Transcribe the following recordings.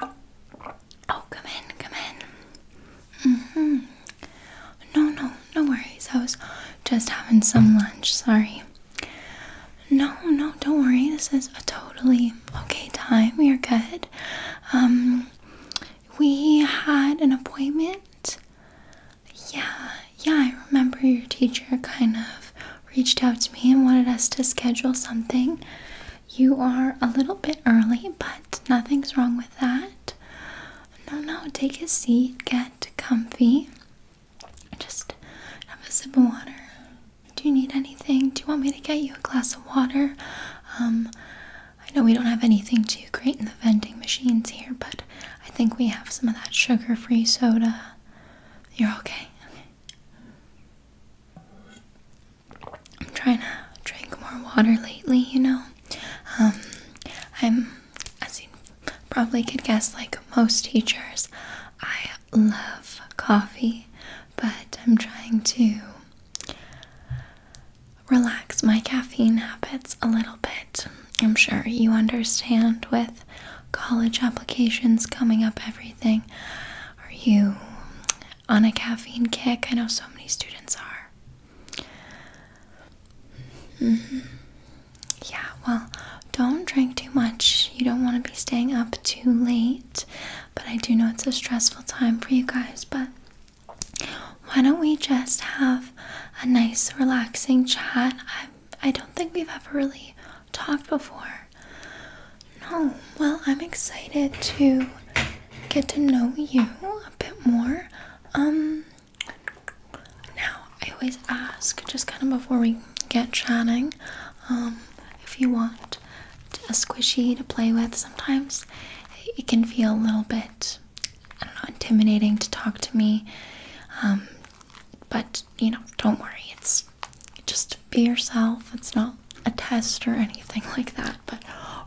Oh, come in, come in. hmm No, no, no worries. I was just having some lunch, sorry. No, no, don't worry. This is a totally okay time. We are good. Um, we had an appointment. Yeah, yeah, I remember your teacher kind of reached out to me and wanted us to schedule something. You are a little bit early, but nothing's wrong with that. No, no, take a seat, get comfy. Just have a sip of water. Do you need anything? Do you want me to get you a glass of water? Um, I know we don't have anything too great in the vending machines here, but I think we have some of that sugar free soda. You're okay. I'm trying to drink more water lately, you know. Um, I'm, as you probably could guess, like most teachers, I love coffee, but I'm trying to relax my caffeine habits a little bit. I'm sure you understand with college applications coming up every are you on a caffeine kick? I know so many students are. Mm-hmm. Yeah, well, don't drink too much. You don't want to be staying up too late. But I do know it's a stressful time for you guys, but why don't we just have a nice relaxing chat? I I don't think we've ever really talked before. No, well, I'm excited to get to know you a bit more. Um, now, I always ask, just kind of before we get chatting, um, if you want a squishy to play with. Sometimes it can feel a little bit, I don't know, intimidating to talk to me. Um, but, you know, don't worry, it's just be yourself. It's not a test or anything like that, but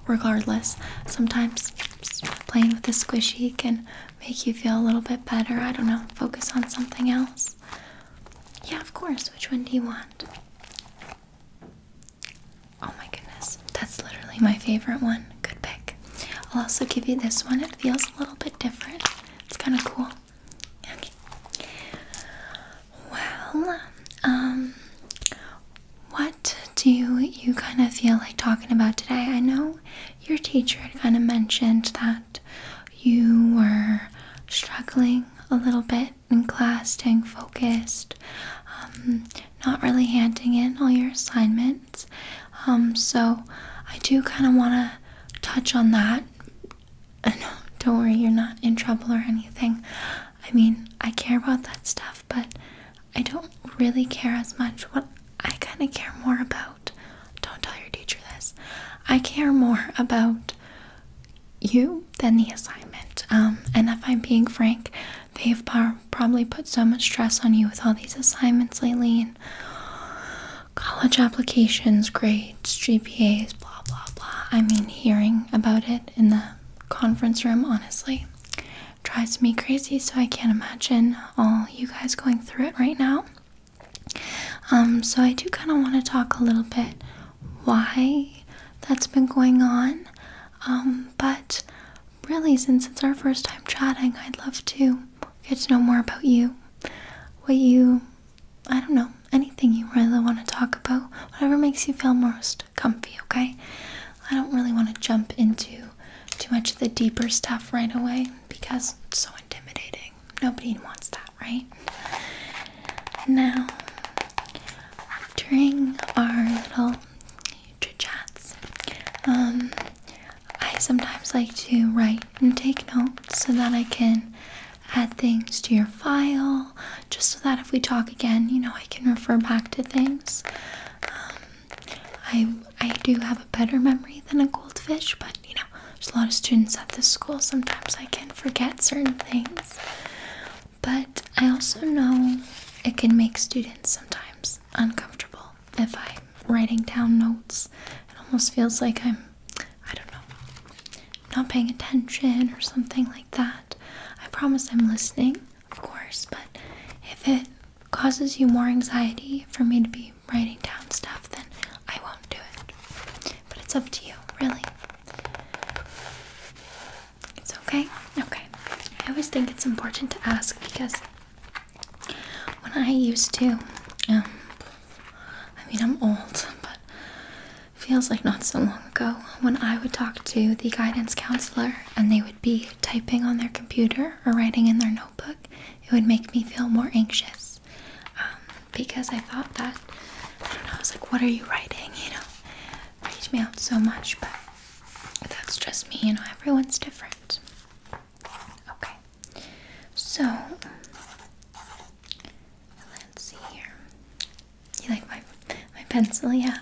regardless, sometimes playing with the squishy can make you feel a little bit better. I don't know, focus on something else. Yeah, of course. Which one do you want? Oh my goodness, that's literally my favorite one. Good pick. I'll also give you this one. It feels a little bit different. It's kind of cool. Okay. Well, um, what do you kind of feel like talking about today? I know your teacher kind of mentioned that you were struggling a little bit in class, staying focused, um, not really handing in all your assignments. Um, so I do kind of want to touch on that uh, no, don't worry, you're not in trouble or anything. I mean, I care about that stuff, but I don't really care as much. What I kind of care more about, don't tell your teacher this, I care more about you than the assignment. Um, and if I'm being frank, they've probably put so much stress on you with all these assignments lately. And college applications, grades, GPAs, blah blah blah. I mean, hearing about it in the conference room honestly drives me crazy, so I can't imagine all you guys going through it right now. Um, so I do kind of want to talk a little bit why that's been going on. Um, but really, since it's our first time chatting, I'd love to get to know more about you, what you I don't know, anything you really want to talk about, whatever makes you feel most comfy, okay? I don't really want to jump into too much of the deeper stuff right away because it's so intimidating. Nobody wants that, right? Now, during our little chit chats, um, I sometimes like to write and take notes so that I can add things to your file just so that if we talk again, you know, I can refer back to things. Um, I, I do have a better memory than a goldfish, but you know, there's a lot of students at this school. Sometimes I can forget certain things. But I also know it can make students sometimes uncomfortable if I'm writing down notes. It almost feels like I'm I don't know, not paying attention or something like that. I promise I'm listening, of course, but if it causes you more anxiety for me to be writing down stuff, then I won't do it. But it's up to you, really. It's okay? Okay. I always think it's important to ask because when I used to, um, I mean, I'm old, but feels like not so long ago when I would talk to the guidance counselor and they would be typing on their computer or writing in their notebook. It would make me feel more anxious um, because I thought that, I don't know, I was like, what are you writing? You know, freaked me out so much, but that's just me, you know, everyone's different. Okay, so Let's see here. You like my my pencil? Yeah.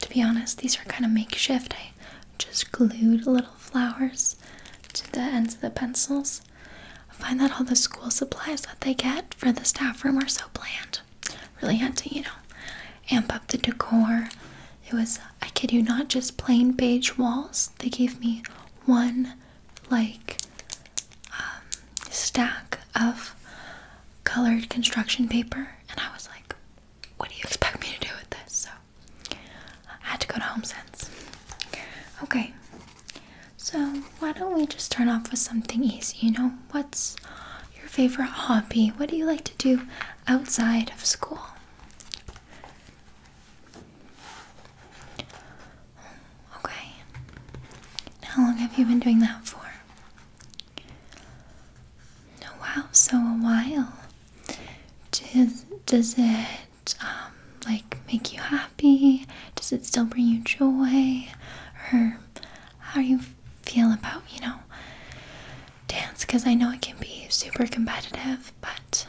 To be honest, these are kind of makeshift. I just glued little flowers to the ends of the pencils. I find that all the school supplies that they get for the staff room are so bland. Really had to, you know, amp up the decor. It was, I kid you not, just plain beige walls. They gave me one like um, stack of colored construction paper, and I was like, what do you expect me to do with this? So I had to go to Home Okay, so why don't we just start off with something easy? You know, what's your favorite hobby? What do you like to do outside of school? Okay. How long have you been doing that for? Oh, wow, so a while. Does does it um, like make you happy? Does it still bring you joy? Or how do you feel about you know dance? Because I know it can be super competitive, but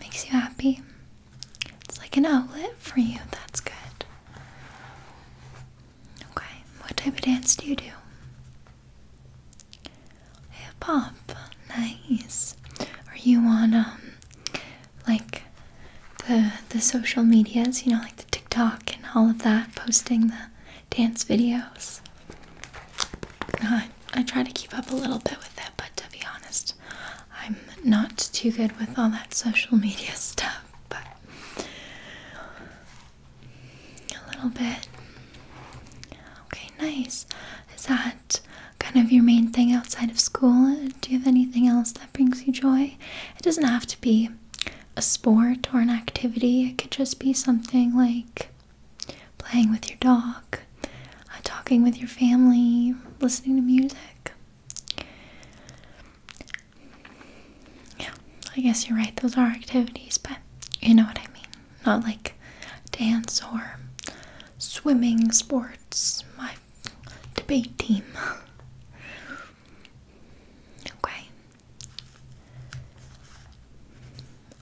makes you happy. It's like an outlet for you. That's good. Okay, what type of dance do you do? Hip hop. Nice. Are you on um like the the social medias, you know, like the TikTok and all of that, posting the dance videos? Uh, I try to keep up a little bit with that, but to be honest, I'm not too good with all that social media stuff, but a little bit. Okay, nice. Is that kind of your main thing outside of school? Do you have anything else that brings you joy? It doesn't have to be a sport or an activity, it could just be something like playing with your dog, uh, talking with your family, listening to music. Yeah, I guess you're right. Those are activities, but you know what I mean. Not like dance or swimming, sports, my debate team. okay.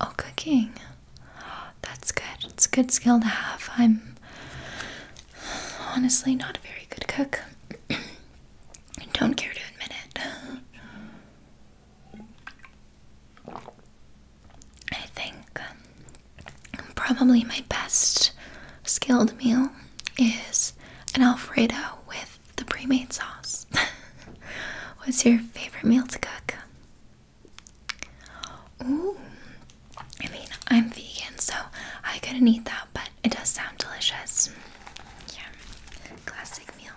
Oh, cooking. That's good. It's a good skill to have. I'm Honestly, not a very good cook. Don't care to admit it. I think um, probably my best skilled meal is an Alfredo with the pre made sauce. What's your favorite meal to cook? Ooh, I mean, I'm vegan, so I couldn't eat that, but it does sound delicious. Yeah, classic meal.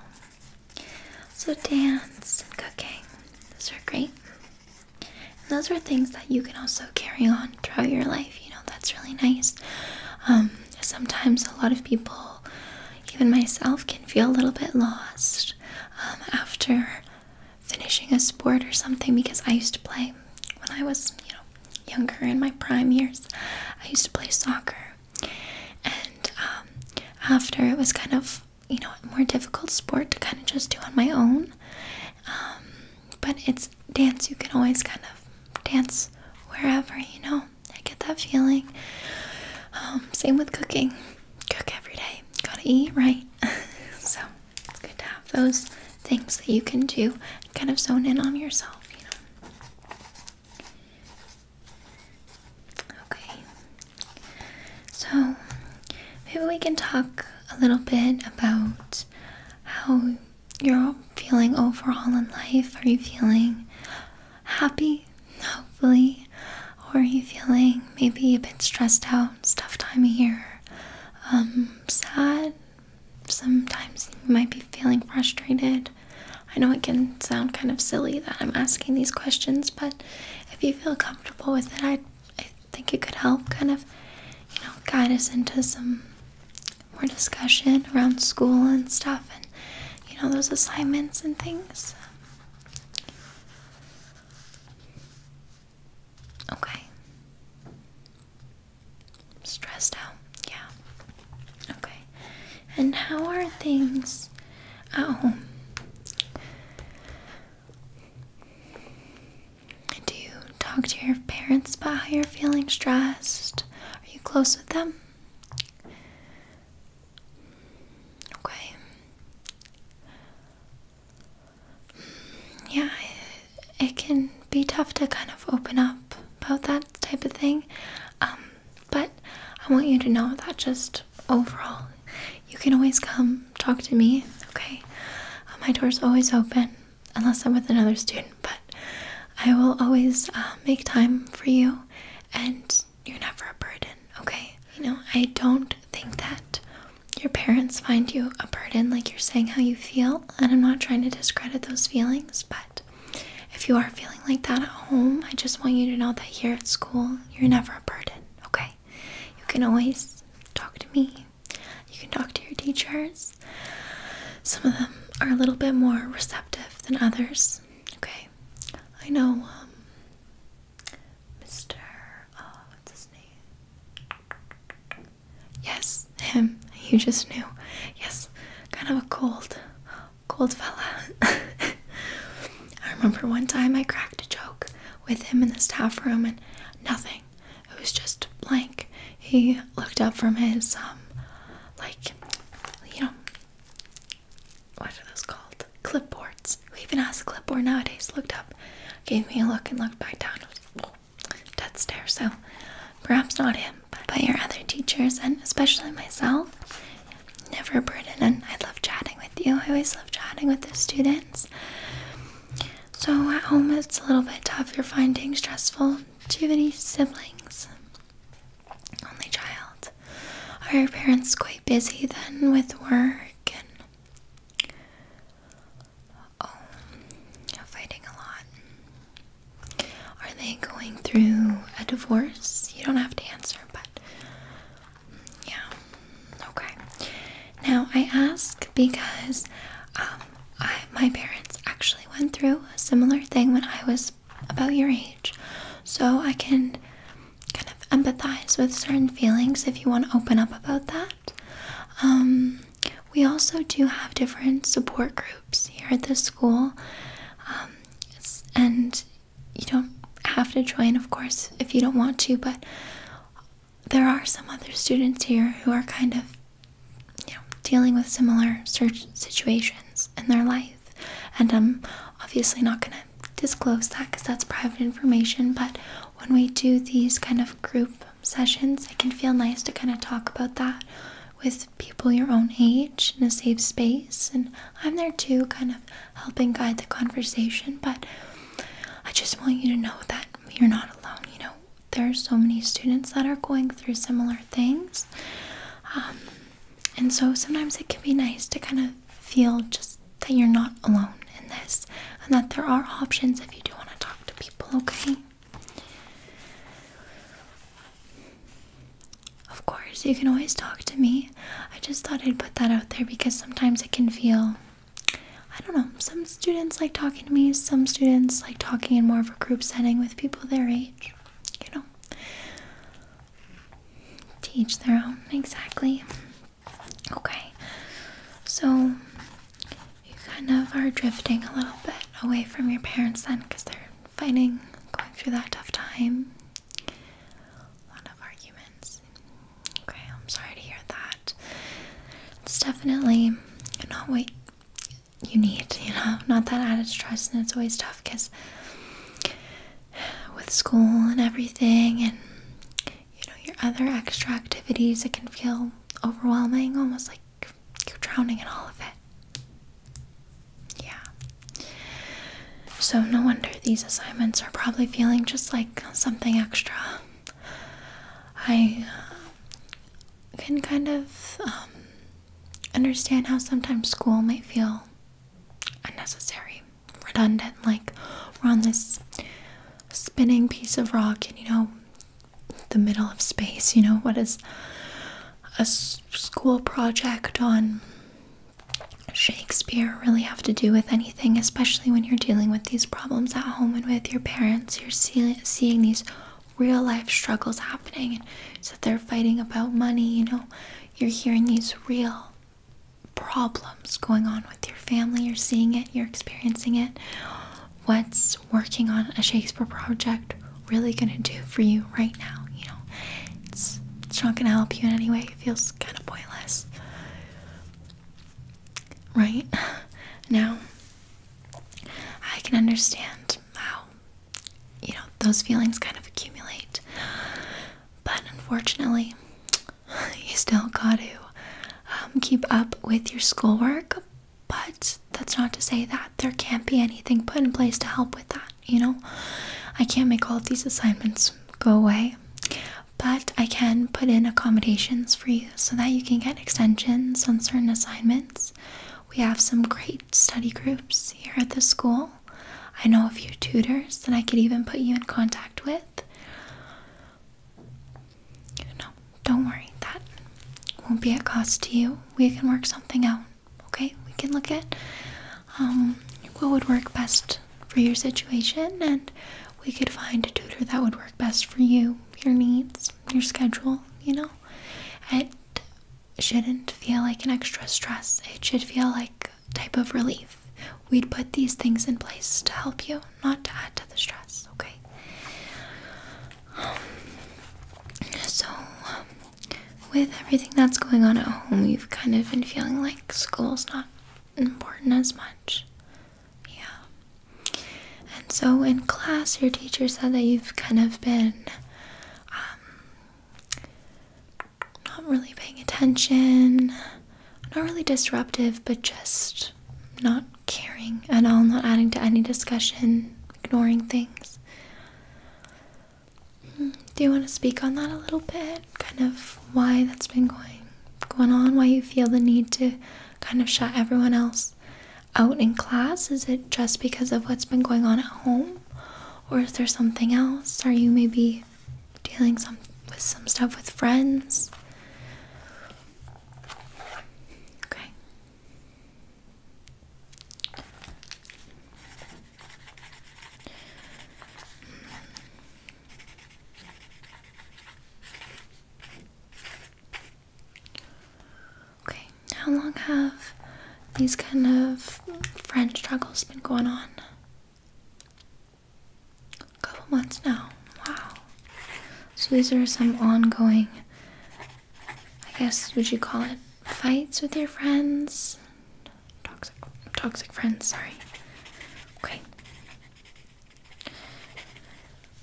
So, dance and cooking, those are great. those are things that you can also carry on throughout your life, you know, that's really nice. Um, sometimes a lot of people, even myself, can feel a little bit lost um, after finishing a sport or something because I used to play when I was, you know, younger in my prime years, I used to play soccer, and um, after it was kind of you know more difficult sport to kind of just do on my own. Um, but it's dance you can always kind of dance wherever you know. I get that feeling. Um, same with cooking. Cook every day. Gotta eat right. so it's good to have those things that you can do kind of zone in on yourself, you know. Okay. So maybe we can talk a little bit about how you're feeling overall in life. Are you feeling happy, hopefully? Or are you feeling maybe a bit stressed out, it's tough time of year? Um, sad, sometimes you might be feeling frustrated. I know it can sound kind of silly that I'm asking these questions, but if you feel comfortable with it, I, I think it could help kind of, you know, guide us into some more discussion around school and stuff and, you know, those assignments and things. Okay. Stressed out, yeah. Okay. And how are things at home? Do you talk to your parents about how you're feeling stressed? Are you close with them? Okay yeah, it, can be tough to kind of open up about that type of thing. Um, but I want you to know that just overall, you can always come talk to me, okay? Uh, my door's always open, unless I'm with another student, but I will always uh, make time for you, and you're never a burden, okay? You know, I don't think that your parents find you a burden, like you're saying how you feel and I'm not trying to discredit those feelings, but if you are feeling like that at home, I just want you to know that here at school, you're never a burden, okay? You can always talk to me, you can talk to your teachers. Some of them are a little bit more receptive than others, okay? I know, Mr. Um, uh, what's his name? Yes, him. You just knew. Yes, kind of a cold, cold fella. I remember one time I cracked a joke with him in the staff room and nothing. It was just blank. He looked up from his, um, like, you know, what are those called? Clipboards. We even has a clipboard nowadays? Looked up, gave me a look, and looked back down dead so perhaps not him, but, your other teachers and especially myself. Never a burden, and I love chatting with you. I always love chatting with the students. So at home it's a little bit tough. You're finding stressful. Do you have any siblings? Only child. Are your parents quite busy then with work Oh, fighting a lot. Are they going through a divorce? You don't have to answer, but yeah. Okay. Now I ask because um, my parents actually went through a similar thing when I was about your age, so I can kind of empathize with certain feelings if you want to open up about that. Um, we also do have different support groups here at the school, um, and you don't have to join, of course, if you don't want to, but there are some other students here who are kind of dealing with similar situations in their life and i'm obviously not going to disclose that because that's private information but when we do these kind of group sessions, it can feel nice to kind of talk about that with people your own age in a safe space. And I'm there too, kind of helping guide the conversation. But I just want you to know that you're not alone. You know, there are so many students that are going through similar things. Um, and so sometimes it can be nice to kind of feel just that you're not alone in this and that there are options if you do want to talk to people, okay? Of course, you can always talk to me. I just thought I'd put that out there because sometimes it can feel I don't know. Some students like talking to me, some students like talking in more of a group setting with people their age. You know, teach their own, exactly. Okay, so you kind of are drifting a little bit away from your parents then because they're fighting, going through that tough time. A lot of arguments. Okay, I'm sorry to hear that. It's definitely not what you need, you know, not that added stress, and it's always tough because with school and everything, and you know, your other extra activities, it can feel overwhelming, almost like you're, drowning in all of it. Yeah. So, no wonder these assignments are probably feeling just like something extra. I uh, can kind of um, understand how sometimes school might feel unnecessary, redundant, like we're on this spinning piece of rock and you know, the middle of space, you know, what is a school project on Shakespeare really have to do with anything, especially when you're dealing with these problems at home and with your parents? You're seeing these real life struggles happening, and so they're fighting about money, you know, you're hearing these real problems going on with your family, you're seeing it, you're experiencing it. What's working on a Shakespeare project really gonna do for you right now? You know, it's it's not gonna help you in any way. It feels kind of pointless, right? Now, I can understand how you know those feelings kind of accumulate, but unfortunately, you still got to um, keep up with your schoolwork. But that's not to say that there can't be anything put in place to help with that, you know? I can't make all of these assignments go away, but I can put in accommodations for you so that you can get extensions on certain assignments. We have some great study groups here at the school. I know a few tutors that I could even put you in contact with. No, don't worry, that won't be a cost to you. We can work something out, okay? We can look at um, what would work best for your situation, and we could find a tutor that would work best for you, your needs, your schedule, you know? It shouldn't feel like an extra stress, it should feel like type of relief. We'd put these things in place to help you, not to add to the stress, okay? So, um, with everything that's going on at home, you've kind of been feeling like school's not important as much. Yeah. And so, in class, your teacher said that you've kind of been um, not really paying attention, not really disruptive, but just not caring at all, not adding to any discussion, ignoring things. Do you want to speak on that a little bit? Kind of why that's been going going on, why you feel the need to kind of shut everyone else out in class? Is it just because of what's been going on at home? Or is there something else? Are you maybe dealing some with some stuff with friends? Okay. Okay, how long have these kind of French struggles been going on? A couple months now. Wow. So these are some ongoing I guess would you call it fights with your friends? Toxic toxic friends, sorry. Okay.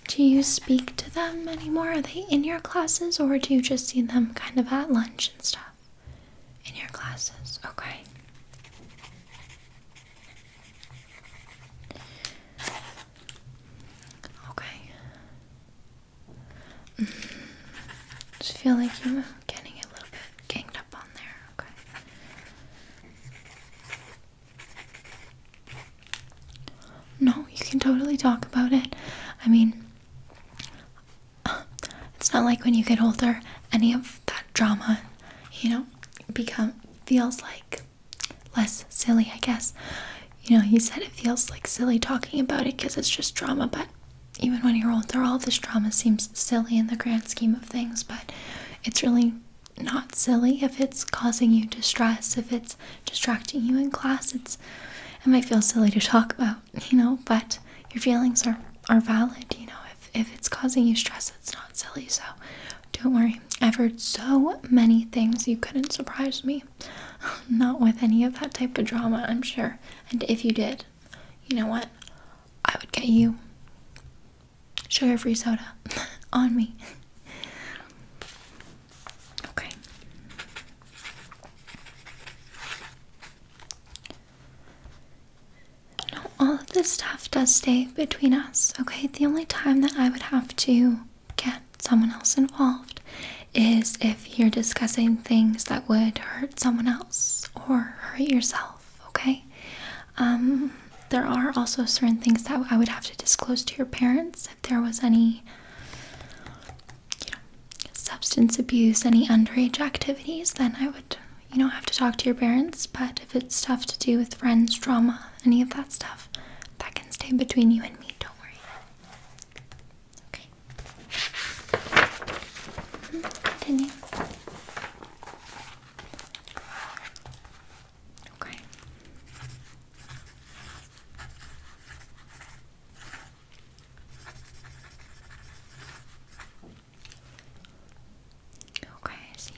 Do you speak to them anymore? Are they in your classes or do you just see them kind of at lunch and stuff? In your classes, okay. Okay. Mm Just feel like you're getting a little bit ganged up on there, okay? No, you can totally talk about it. I mean, it's not like when you get older, any of that drama, you know, become feels like less silly, I guess you know, he said it feels like silly talking about it because it's just drama, but even when you're older, all this drama seems silly in the grand scheme of things, but it's really not silly if it's causing you distress, if it's distracting you in class. It's it might feel silly to talk about, you know, but your feelings are are valid, you know. If if it's causing you stress, it's not silly. So don't worry. I've heard so many things you couldn't surprise me. Not with any of that type of drama, I'm sure. And if you did, you know what? I would get you sugar free soda on me. Okay. No, all of this stuff does stay between us, okay? The only time that I would have to get someone else involved is if you're discussing things that would hurt someone else or hurt yourself, okay? Um, there are also certain things that I would have to disclose to your parents if there was any substance abuse, any underage activities, then I would, you know, have to talk to your parents. But if it's stuff to do with friends, drama, any of that stuff, that can stay between you and me, don't worry. Okay. Continue. Okay. Okay, see.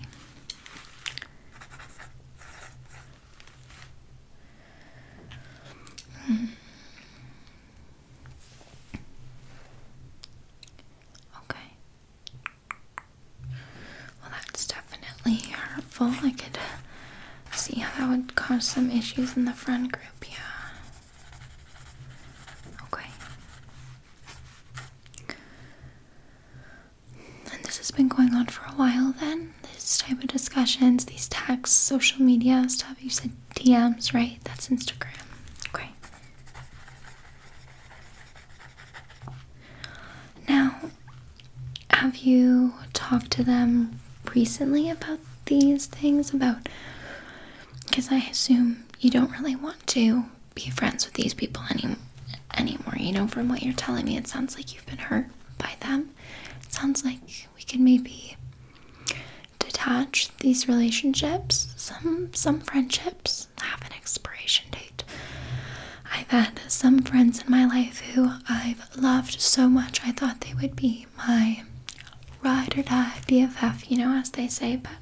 Okay. Well, that's definitely hurtful. I could see how that would cause some issues in the friend group, yeah. Okay. And this has been going on for a while then? this type of discussions, these texts, social media stuff. You said DMs, right? That's Instagram. Okay. Now, have you talked to them recently about these things? About because I assume you don't really want to be friends with these people any, anymore. You know, from what you're telling me, it sounds like you've been hurt by them. It sounds like we can maybe detach these relationships. Some some friendships have an expiration date. I've had some friends in my life who I've loved so much I thought they would be my ride or die BFF, you know, as they say, but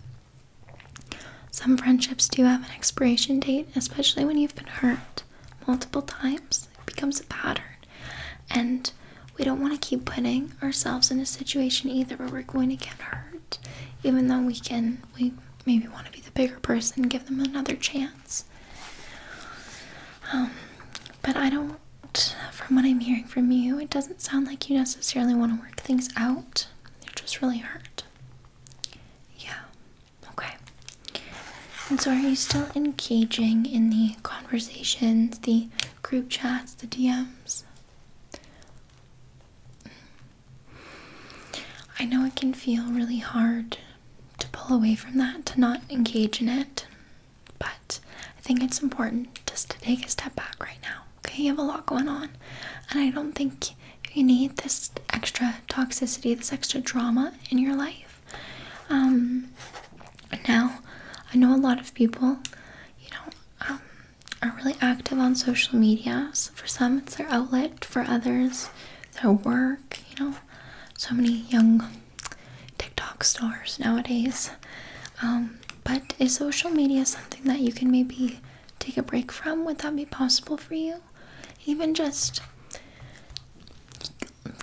some friendships do have an expiration date, especially when you've been hurt multiple times. It becomes a pattern. And we don't want to keep putting ourselves in a situation either where we're going to get hurt, even though we can, we maybe want to be the bigger person, give them another chance. Um, but I don't, from what I'm hearing from you, it doesn't sound like you necessarily want to work things out. You're just really hurt. Yeah. Okay. And so, are you still engaging in the conversations, the group chats, the DMs. I know it can feel really hard to pull away from that, to not engage in it, but I think it's important just to take a step back right now. Okay, you have a lot going on, and I don't think you need this extra toxicity, this extra drama in your life. Um, now I know a lot of people, you know, um, are really active on social media. So for some, it's their outlet. For others, their work. You know, so many young TikTok stars nowadays. Um, but is social media something that you can maybe take a break from? Would that be possible for you? Even just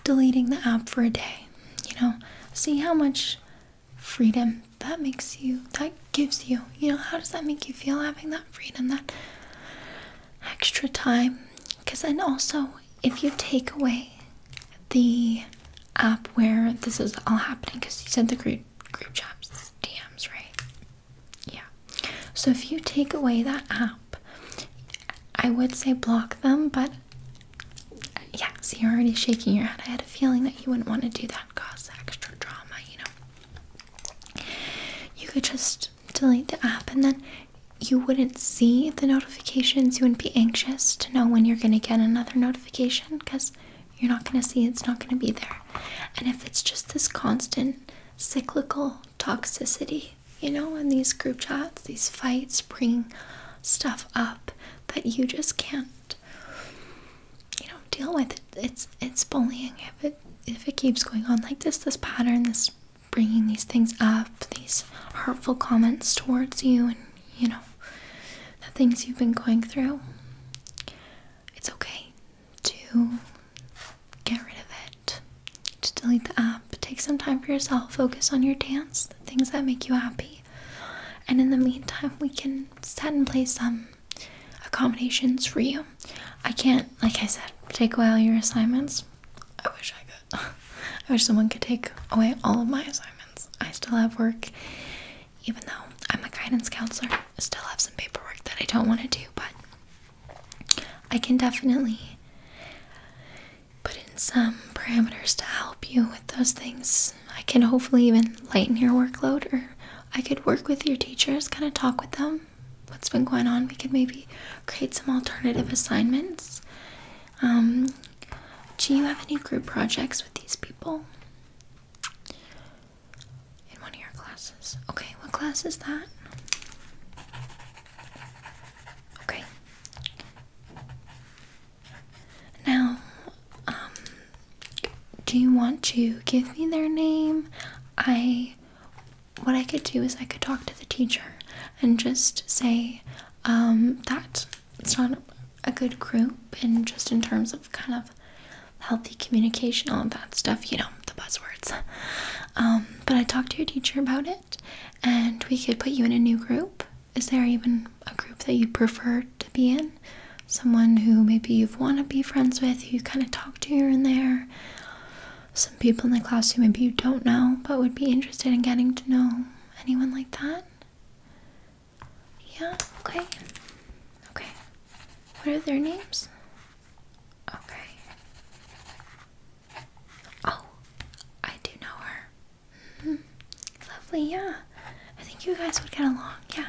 deleting the app for a day, you know, see how much freedom that makes you that gives you you know how does that make you feel having that freedom that extra time because then also if you take away the app where this is all happening because you said the group group chats dms right yeah so if you take away that app i would say block them but yeah, so you're already shaking your head. I had a feeling that you wouldn't want to do that, cause extra drama, you know. You could just delete the app and then you wouldn't see the notifications. You wouldn't be anxious to know when you're going to get another notification because you're not going to see It's not going to be there. And if it's just this constant cyclical toxicity, you know, in these group chats, these fights bring stuff up that you just can't you know deal with it. it's it's bullying if it if it keeps going on like this this pattern this bringing these things up these hurtful comments towards you and you know the things you've been going through it's okay to get rid of it to delete the app take some time for yourself focus on your dance the things that make you happy and in the meantime, we can set in place some accommodations for you. I can't, like I said, take away all your assignments. I wish I could. I wish someone could take away all of my assignments. I still have work, even though I'm a guidance counselor. I still have some paperwork that I don't want to do, but I can definitely put in some parameters to help you with those things. I can hopefully even lighten your workload, or I could work with your teachers, kind of talk with them. What's been going on? We could maybe create some alternative assignments. Um, do you have any group projects with these people? In one of your classes. Okay, what class is that? Okay. Now, um, do you want to give me their name? I, what I could do is I could talk to the teacher and just say um, that it's not a good group, and just in terms of kind of healthy communication, all that stuff, you know, the buzzwords. Um, but I talked to your teacher about it, and we could put you in a new group is there even a group that you prefer to be in? Someone who maybe you want to be friends with, who you kind of talk to here and there? Some people in the classroom maybe you don't know but would be interested in getting to know? Anyone like that? Yeah, okay. Okay. What are their names? Okay. Oh, I do know her. Lovely, yeah. I think you guys would get along, yeah.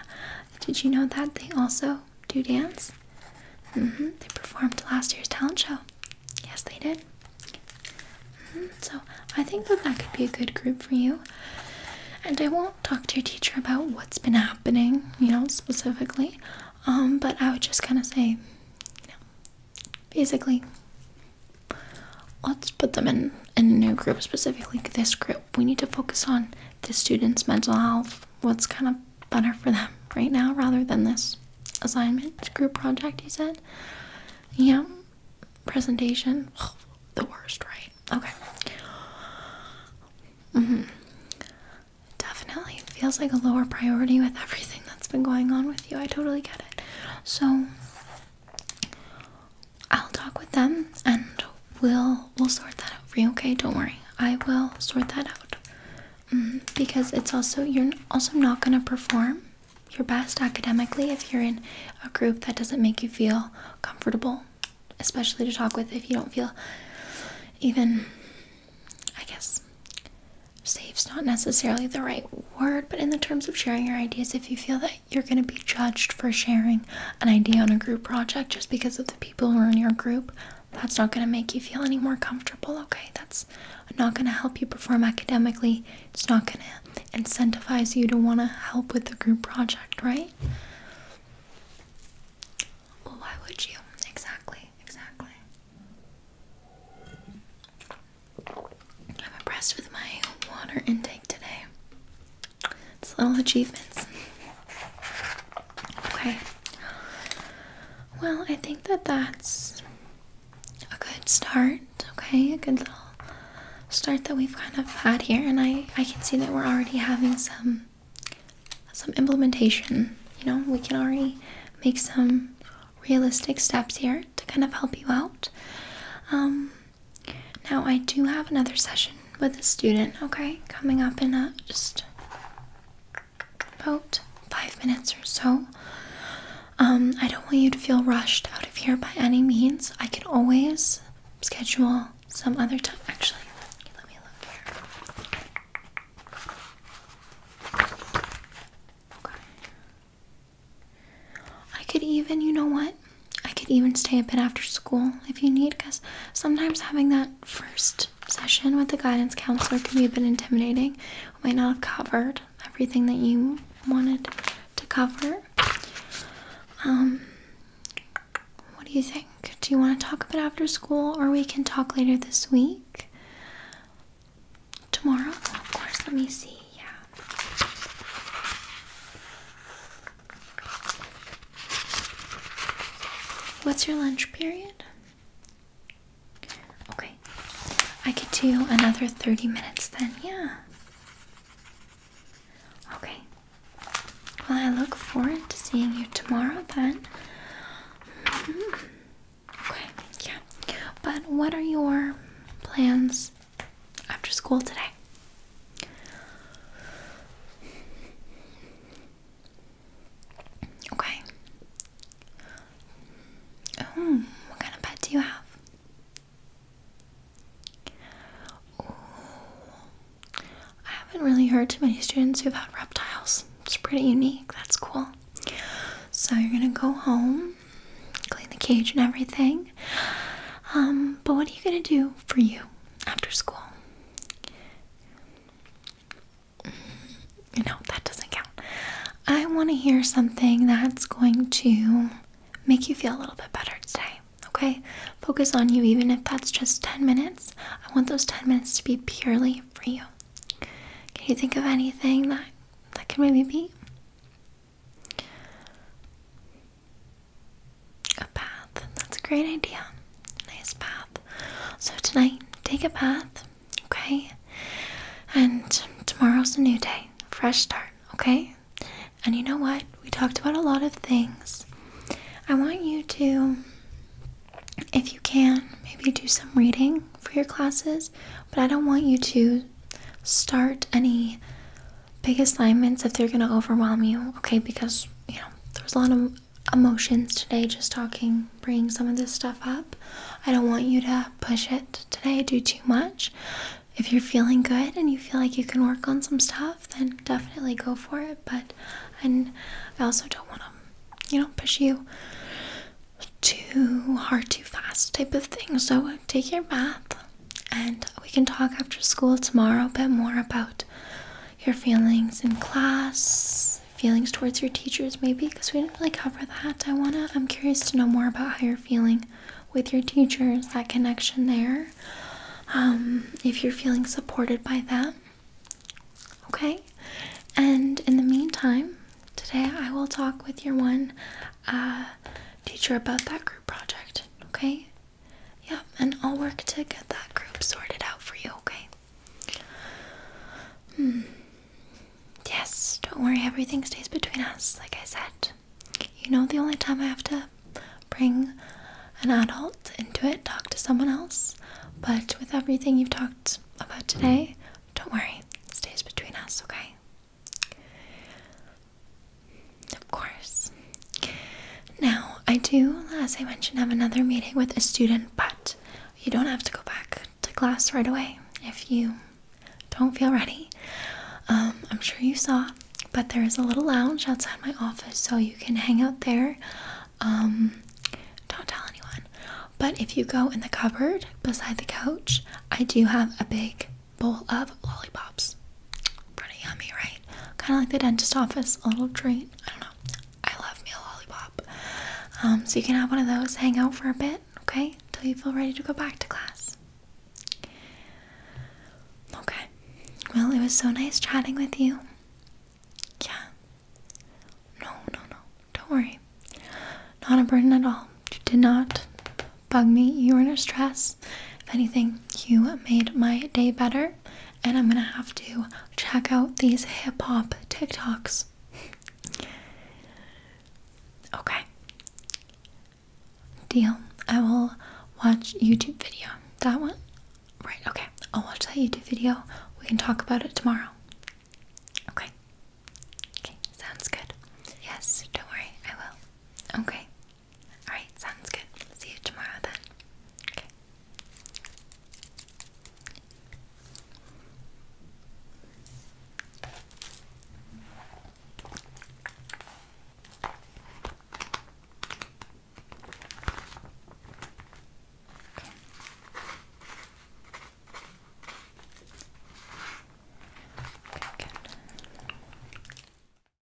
Did you know that they also do dance? Mm-hmm. They performed last year's talent show. Yes, they did. Mm-hmm. So I think that that could be a good group for you. And I won't talk to your teacher about what's been happening, you know, specifically. Um, but I would just kind of say, you know, basically, Let's put them in, in a new group, specifically this group. We need to focus on the students' mental health, what's kind of better for them right now rather than this assignment group project, you said? Yeah. Presentation. the worst, right? Okay. Mm hmm Definitely. feels like a lower priority with everything that's been going on with you. I totally get it. So, I'll talk with them and we'll we'll sort that out for you. Okay, don't worry. I will sort that out mm, because it's also you're also not gonna perform your best academically if you're in a group that doesn't make you feel comfortable, especially to talk with if you don't feel even. I guess safe's not necessarily the right word, but in the terms of sharing your ideas, if you feel that you're going to be judged for sharing an idea on a group project just because of the people who are in your group, that's not going to make you feel any more comfortable, okay? That's not going to help you perform academically. It's not going to incentivize you to want to help with the group project, right? Well, why would you? Exactly, exactly. I'm impressed with my water intake today. It's little achievements. Okay. Well, I think that that's a good start. Okay, a good little start that we've kind of had here, and I I can see that we're already having some some implementation. You know, we can already make some realistic steps here to kind of help you out. Um, now, I do have another session with a student, okay? Coming up in just about five minutes or so. Um, I don't want you to feel rushed out of here by any means. I can always schedule some other time. Actually, let me look here. I could even, you know what? I could even stay a bit after school if you need, because sometimes having that first session with the guidance counselor can be a bit intimidating. We might not have covered everything that you wanted to cover. Um, what do you think? Do you want to talk a bit after school, or we can talk later this week? Tomorrow? Of course, let me see yeah. What's your lunch period? Okay. I could do another 30 minutes then, yeah. Okay. Well, I look forward to seeing you tomorrow then. Mm-hmm. Okay, yeah. But what are your plans after school today. Okay. Oh, what kind of pet do you have? Oh, I haven't really heard too many students who've had reptiles. It's pretty unique. That's cool. So you're gonna go home, clean the cage and everything, um, but what are you gonna do for you after school? No, that doesn't count. I want to hear something that's going to make you feel a little bit better today. Okay? Focus on you, even if that's just 10 minutes. I want those 10 minutes to be purely for you. Can you think of anything that that can maybe be a bath. That's a great idea. Nice bath. So tonight, take a bath, okay? And tomorrow's a new day, fresh start, okay? And you know what? We talked about a lot of things. I want you to, if you can, maybe do some reading for your classes, but I don't want you to start any big assignments if they're gonna overwhelm you, okay? Because you know, there's a lot of emotions today just talking, bringing some of this stuff up. I don't want you to push it today, do too much. If you're feeling good and you feel like you can work on some stuff, then definitely go for it. But and I also don't want to, you know, push you too hard, too fast type of thing. So take your bath and we can talk after school tomorrow a bit more about your feelings in class, feelings towards your teachers maybe because we didn't really cover that. I wanna I'm curious to know more about how you're feeling with your teachers, that connection there. Um, if you're feeling supported by them. Okay? And in the meantime, today I will talk with your one uh, teacher about that group project. Okay? Yep, and I'll work to get that group sorted out for you, okay? Hmm. Yes, don't worry, everything stays between us, like I said. You know, the only time I have to bring an adult into it, talk to someone else, but with everything you've talked about today, don't worry, it stays between us, okay? Of course. Now, I do, as I mentioned, have another meeting with a student, but you don't have to go back to class right away if you don't feel ready. Um, I'm sure you saw, but there is a little lounge outside my office, so you can hang out there. Um, don't tell anyone. But if you go in the cupboard beside the couch, I do have a big bowl of lollipops. Pretty yummy, right? Kind of like the dentist office, a little treat. I don't know. I love me a lollipop. Um, so you can have one of those, hang out for a bit, okay? Until you feel ready to go back to class. Okay. Well, it was so nice chatting with you. Yeah. No, no, no. Don't worry. Not a burden at all. You did not bug me. You were in a stress. If anything, you made my day better, and I'm gonna have to check out these hip hop TikToks. okay. Deal. I will watch YouTube video. That one? Right, okay. I'll watch that YouTube video. We can talk about it tomorrow. Okay. Okay, sounds good. Yes, don't worry, I will. Okay, Alright, sounds good. See you tomorrow then. Okay. Okay, good.